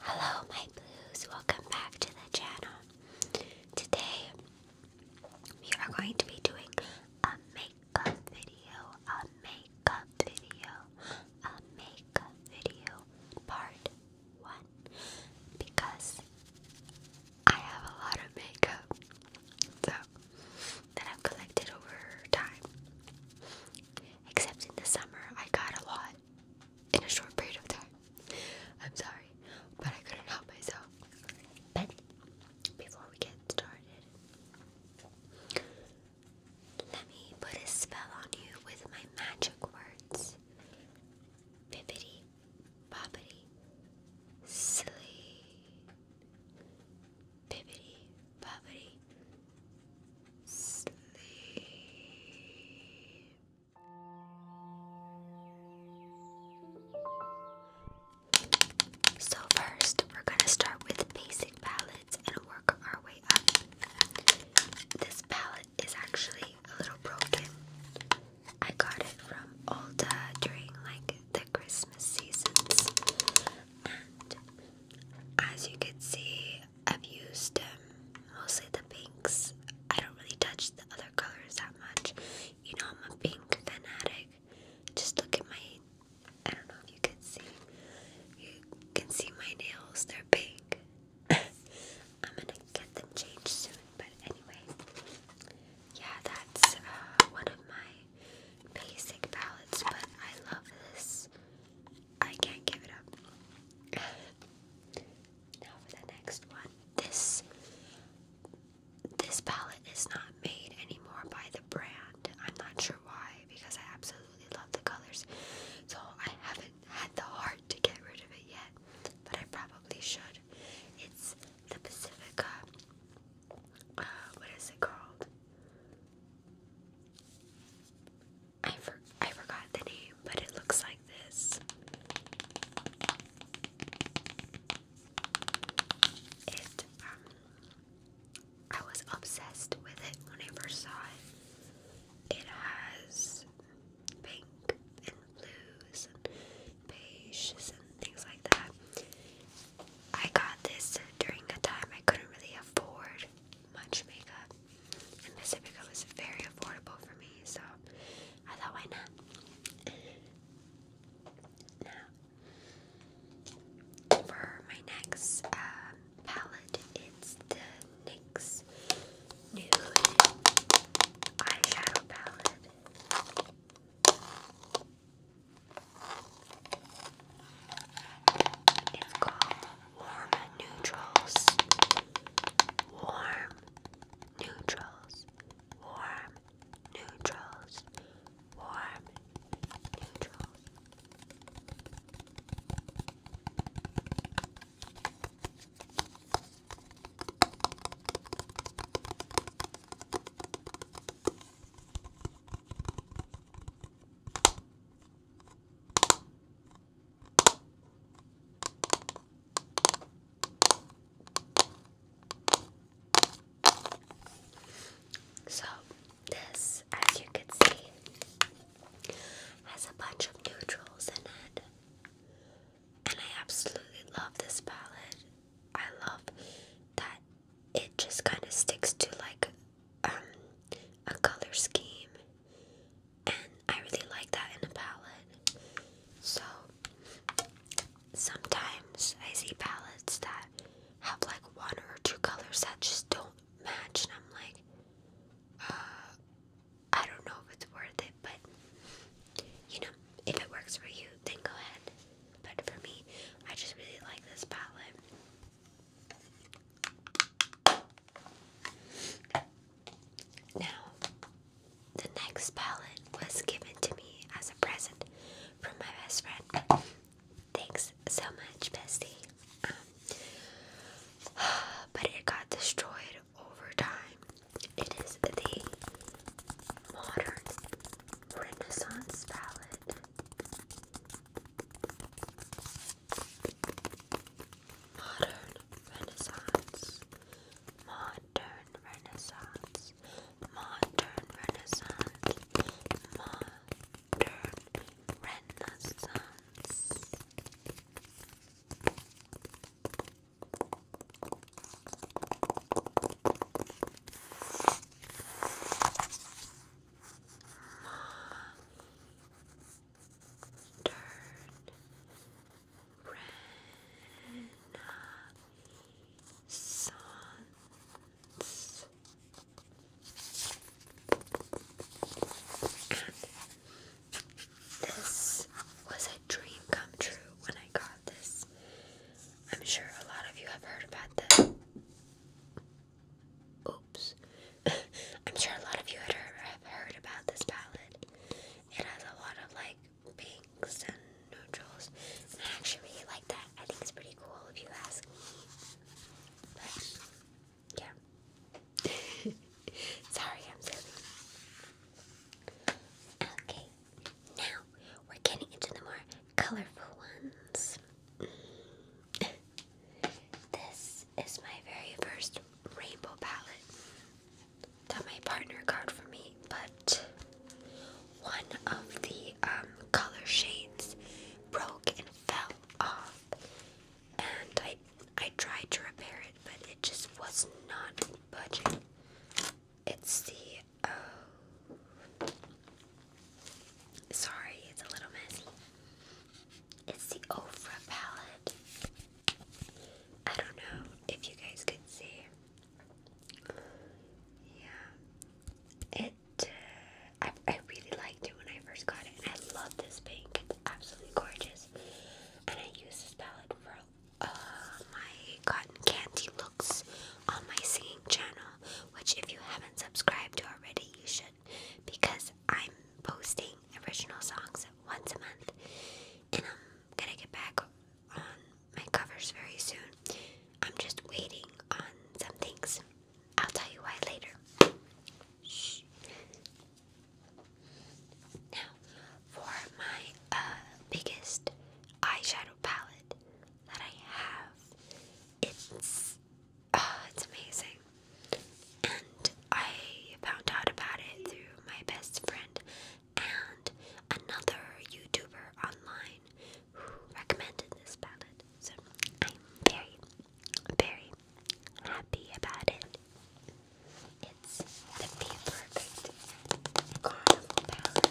Hello, my blues. Welcome back to the channel. Today, we are going to be doing a makeup video, a makeup video, a makeup video part one because I have a lot of makeup so, that I've collected over time. Except in the summer, I got a lot in a short period of time. I'm sorry, but I couldn't help myself. But before we get started, let me put a spell on you with my magic words. Bibbity, bobbity, sleep. Bibbity, bobbity, Sleep. So, first, we're going to start with basic palettes and work our way up. This palette is actually a little broken. I got it from Ulta during like the Christmas seasons. And as you can see, I've used um, mostly the pinks. I don't really touch the other colors that much. You know, I'm a pink fanatic. Just look at my. I don't know if you can see. You can see my nails. They're pink. I'm gonna get them changed soon. But anyway, yeah, that's uh, one of my basic palettes. But I love this I can't give it up. now for the next one. This this palette is not made anymore by the brand. I'm not sure why because I absolutely love the colors. So I haven't had the heart to get rid of it yet, but I probably should. It's the Pacifica. Uh, what is it called? I I forgot the name, but it looks like this. It um I was obsessed with it when I first saw it. It has pink and blues and beiges and things like that. I got this during a time I couldn't really afford much makeup, and Pacifica is very affordable for me, so I thought, why not? for my next um, palette, it's the NYX Nude Eyeshadow Palette. It's called warm neutrals, warm neutrals, warm neutrals, warm neutrals. So, this, as you can see, has a bunch of neutrals in it. And I absolutely love this palette. I love that it just kind of sticks to like um, a color scheme and I really like that in a palette. So sometimes I see palettes that have like one or two colors that just don't match, and I'm like, uh, I don't know if it's worth it, but you know, if it works for you, then go ahead. But for me, I just really like this palette. Now, the next palette was given to me as a present from my best friend. Thanks so much, bestie. Um, but it got destroyed over time. It is the modern Renaissance palette. Modern Renaissance, Modern Renaissance, Modern Renaissance, Modern Renaissance this was a dream come true when I got this. I'm sure a lot of you have heard about this. Oops. I'm sure a lot of you have heard about this palette. It has a lot of like pinks and neutrals. I actually really like that. I think it's pretty cool if you ask me. But yeah. Sorry, I'm silly. Okay, now we're getting into the more colorful ones this is my very first rainbow palette that my partner got for me, but one of the um, color shades broke and fell off, and I I tried to repair it, but it just was not budging. It's the oh, sorry, it's a little messy. It's the Ofra palette. I don't know if you guys can see. Yeah. It. Uh, I, I really liked it when I first got it, I love this pink. It's absolutely gorgeous. And I use this palette for uh, my cotton candy looks on my singing channel, which if you haven't subscribed to already, you should because I'm posting original songs once a month and I'm gonna get back on my covers very soon. I'm just waiting on some things. I'll tell you why later. Now, for my uh, biggest eyeshadow palette that I have, it's Oh, it's amazing. And I found out about it through my best friend and another YouTuber online who recommended this palette. So I'm very, very happy about it. It's the perfect carnival palette.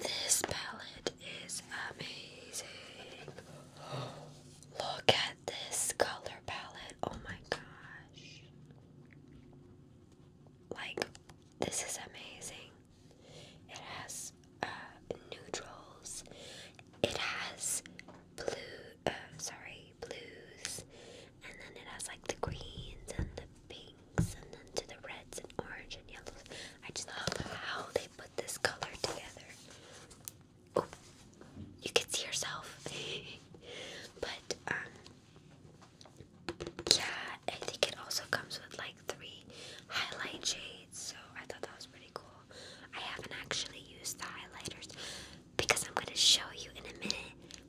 this palette is amazing. Look at this color palette. Oh my gosh. Like, this is amazing. It has uh, neutrals, it has blue, uh, sorry, blues, and then it has like the greens and the pinks, and then to the reds and orange and yellows. I just love how they put this color together. Oh, you can see yourself, but um, yeah, I think it also comes with like three highlight shades, so I thought that was pretty cool. I haven't actually used the highlighters because I'm going to show you in a minute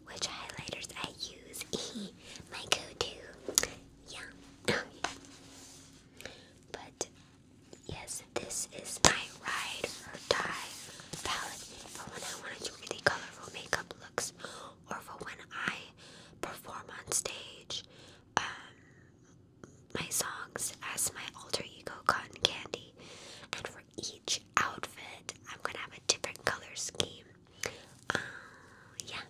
which highlighters I use. My go-to. Yeah. but yes, this is my ride or die palette for when I want to do really colorful makeup looks, or for when I perform on stage. Um, my songs as my alter ego cotton candy and for each outfit i'm gonna have a different color scheme um, yeah.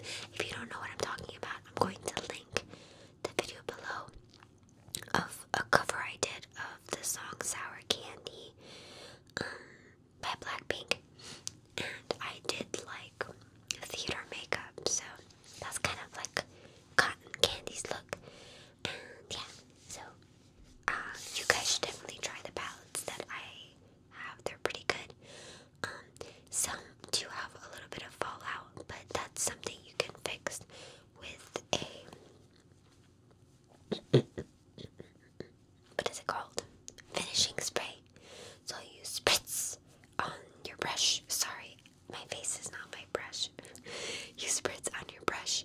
If you don't know what I'm talking about, I'm going to link the video below of a cover I did of the song Sour Candy um, by Blackpink. And I did like theater makeup, so that's kind of like cotton candy's look. And yeah, so um, you guys should definitely try the palettes that I have. They're pretty good. Um, some do have a little bit of fallout, but that's something you can fix with a what is it called? Finishing spray. So you spritz on your brush. Sorry, my face is not my brush. you spritz on your brush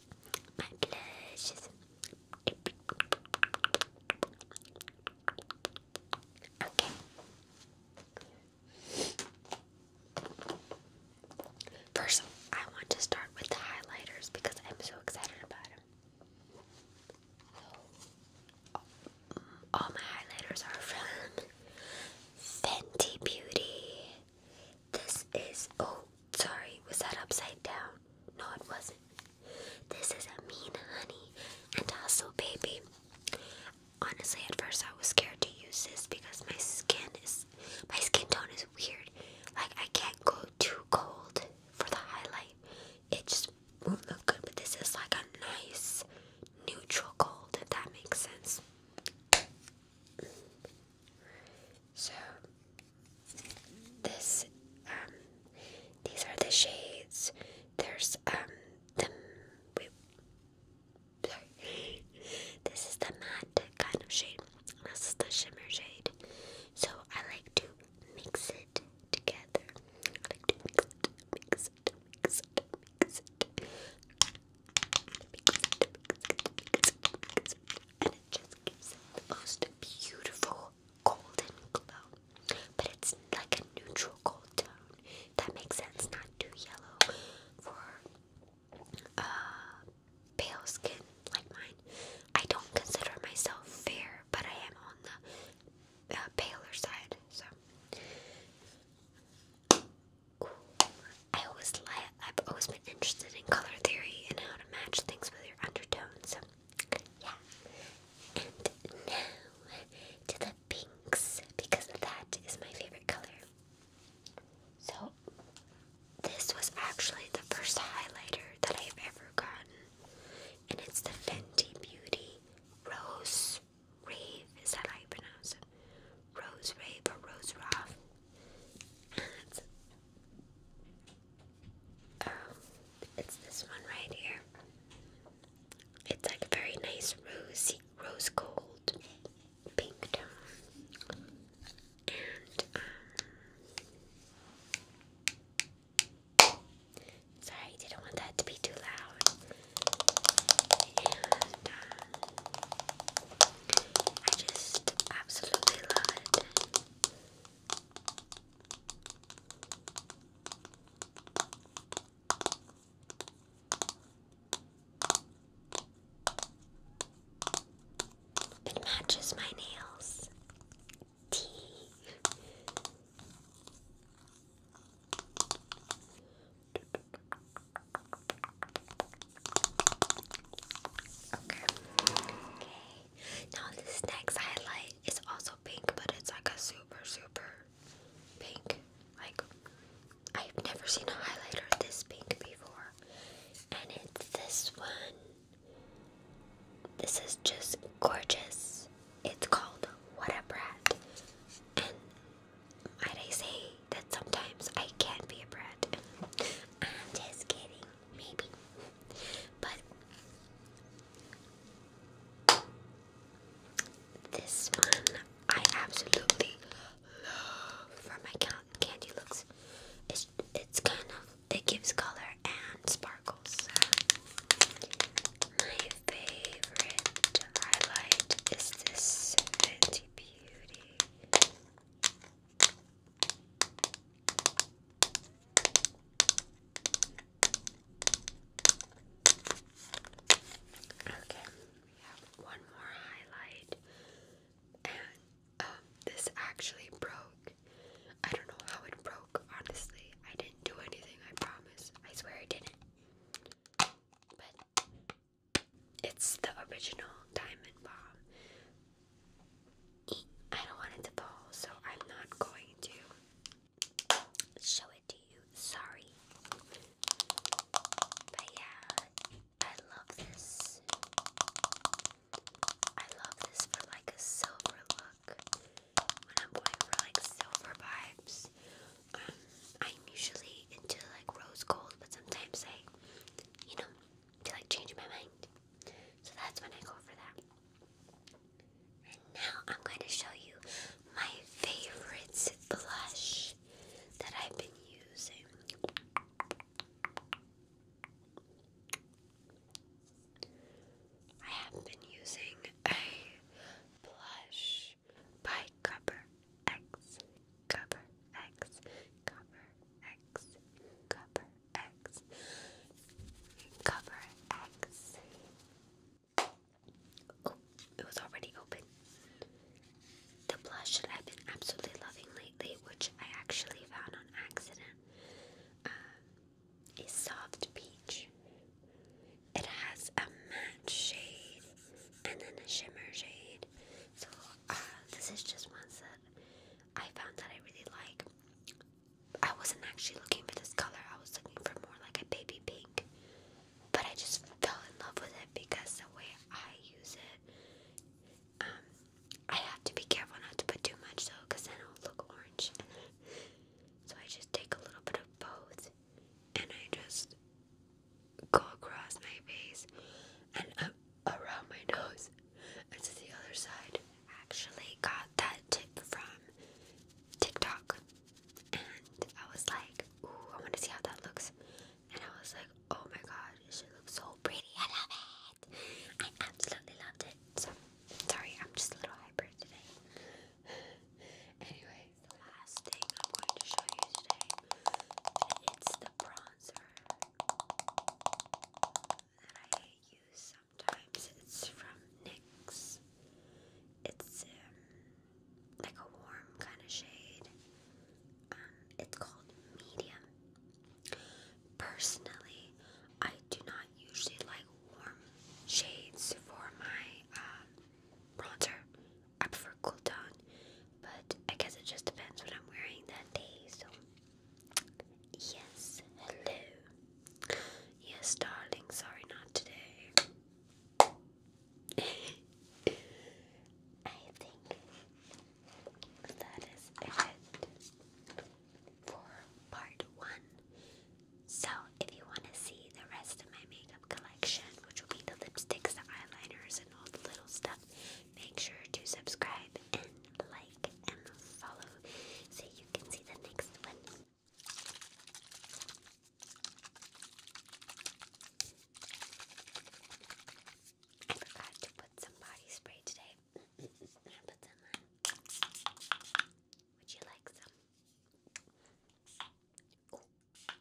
my blushes. Okay. First, I want to start with the highlighters because I'm so excited about them. all my highlighters are from Fenty Beauty. This is. Oh, sorry. Was that upside down? No, it wasn't. This is a mean honey and also baby. Honestly, at first I was scared to use this because my skin is. My skin tone is weird. Like, I can't go too cold for the highlight. It just won't look good, but this is like a nice neutral gold, if that makes sense. So this um these are the shades. There's um the sorry. This is the matte kind of shade. This is the shimmer shade. So I like to mix it together. I like to Mix it, mix it, mix it, mix it, mix it and it just gives the most beautiful golden glow. But it's like a neutral gold tone. That makes sense, not too yellow for uh, pale skin like mine. I don't consider myself fair, but I am on the uh, paler side, so. I always li- I've always been interested in color theory and how to match things with your undertones. Yeah. And now to the pinks because that is my favorite color. So this was actually the first highlighter that I've ever gotten, and it's the Fenty Beauty Rose Rave. Is that how pronounce it? Rose Rave or Rose Roth? it's, um, it's this one right here. It's like a very nice rosy, rose gold pink tone. And, um, sorry, didn't want that to be too loud. Um, I just absolutely love it. It matches my nails. Tea. Okay. Okay. Now this next highlight is also pink, but it's like a super super pink. Like I've never seen a highlighter this pink before. And it's this one. This is just gorgeous. It's called What a Brat. And might I that sometimes I can be a brat. I'm just kidding, maybe. But this one I absolutely love for my candy looks. It's, it's kind of, it gives color and sparkles. My favorite highlight is this Beauty Okay, we have one more highlight, and um, this actually broke. I don't know how it broke, honestly. I didn't do anything, I promise. I swear I didn't. It's the original diamond bomb. I don't want it to fall, so I'm not going to show it to you. Sorry. But yeah, I love this. I love this for like a silver look. When I'm going for like silver vibes, um, I'm usually into like rose gold, but sometimes I, you know, to like change my mind. So that's when I go for that. And now I'm going to show you my favorite blush that I've been using. I have been using a blush by Copper X copper X, copper X, copper X, copper X. Oh, it was already open. The blush that I've been absolutely loving lately, which I actually found on accident, um, is Soft Peach. It has a matte shade and then a shimmer shade. So, uh, this is just one that I found that I really like. I wasn't actually looking for this color, I was looking for more like a baby pink. But I just fell in love with it because the way I use it, um, I have to be careful not to put too much though, because then it'll look orange. so I just take a little bit of both and I just go across my face. And um, around my nose and to the other side. Actually got that tip from TikTok, and I was like, "Ooh, I want to see how that looks." And I was like, "Oh my god, she looks so pretty! I love it! I absolutely loved it." So sorry, I'm just a little hyper today. anyway, the last thing I'm going to show you today, it's the bronze sponsor that I use sometimes. It's from NYX. It's um, like a warm kind of shade. Um, it's called medium. Personally, I do not usually like warm shades for my um, bronzer. I prefer cool tone, but I guess it just depends what I'm wearing that day. So Yes, hello. Yes, darling, sorry, not today. I think that is it for part one. So, if you want to see the rest of my makeup collection, which will be the lipsticks, the eyeliners, and all the little stuff, Make sure to subscribe and like and follow so you can see the next one. I forgot to put some body spray today. I put some on. Would you like some?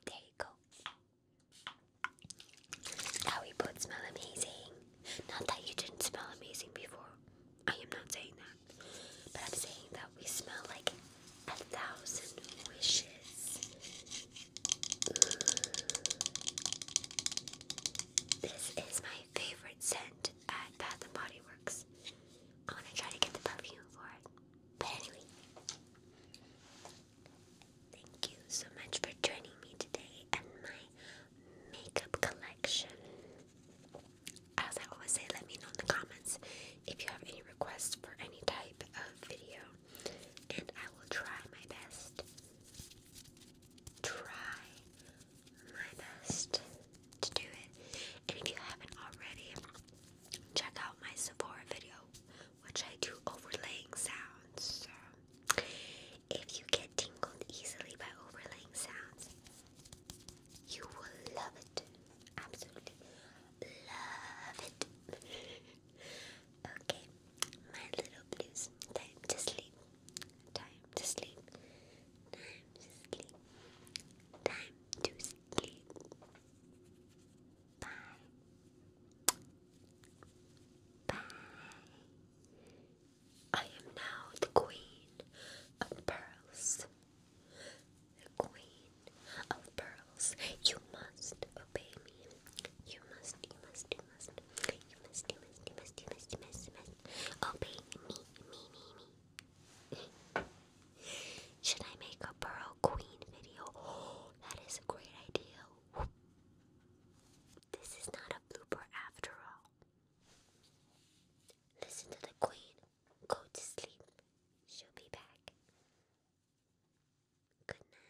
there you go. Now we both smell amazing. Not that you didn't smell amazing before. I am not saying that. But I'm saying that we smell like a thousand wishes. Mm. This is my favorite scent at Bath and Body Works. I'm to try to get the perfume for it. But anyway, Thank you so much for joining me today and my makeup collection. As I always say, let me know in the comments if you have any requests for any type of video, and I will try my best. Try my best to do it. And if you haven't already, check out my Sephora video, which I do overlaying sounds. So if you get tingled easily by overlaying sounds, you will love it. Absolutely love it. okay, my little blues. Time to sleep. Time to sleep. Time to sleep. Time to sleep. Bye. Bye. I am now the queen of pearls. The queen of pearls. You must obey me. You must, you must, you must. You must, you must, you must, you must, Obey me, me, me, me. Should I make a pearl queen video? that is a great idea. This is not a blooper after all. Listen to the queen. Go to sleep. She'll be back. Good night.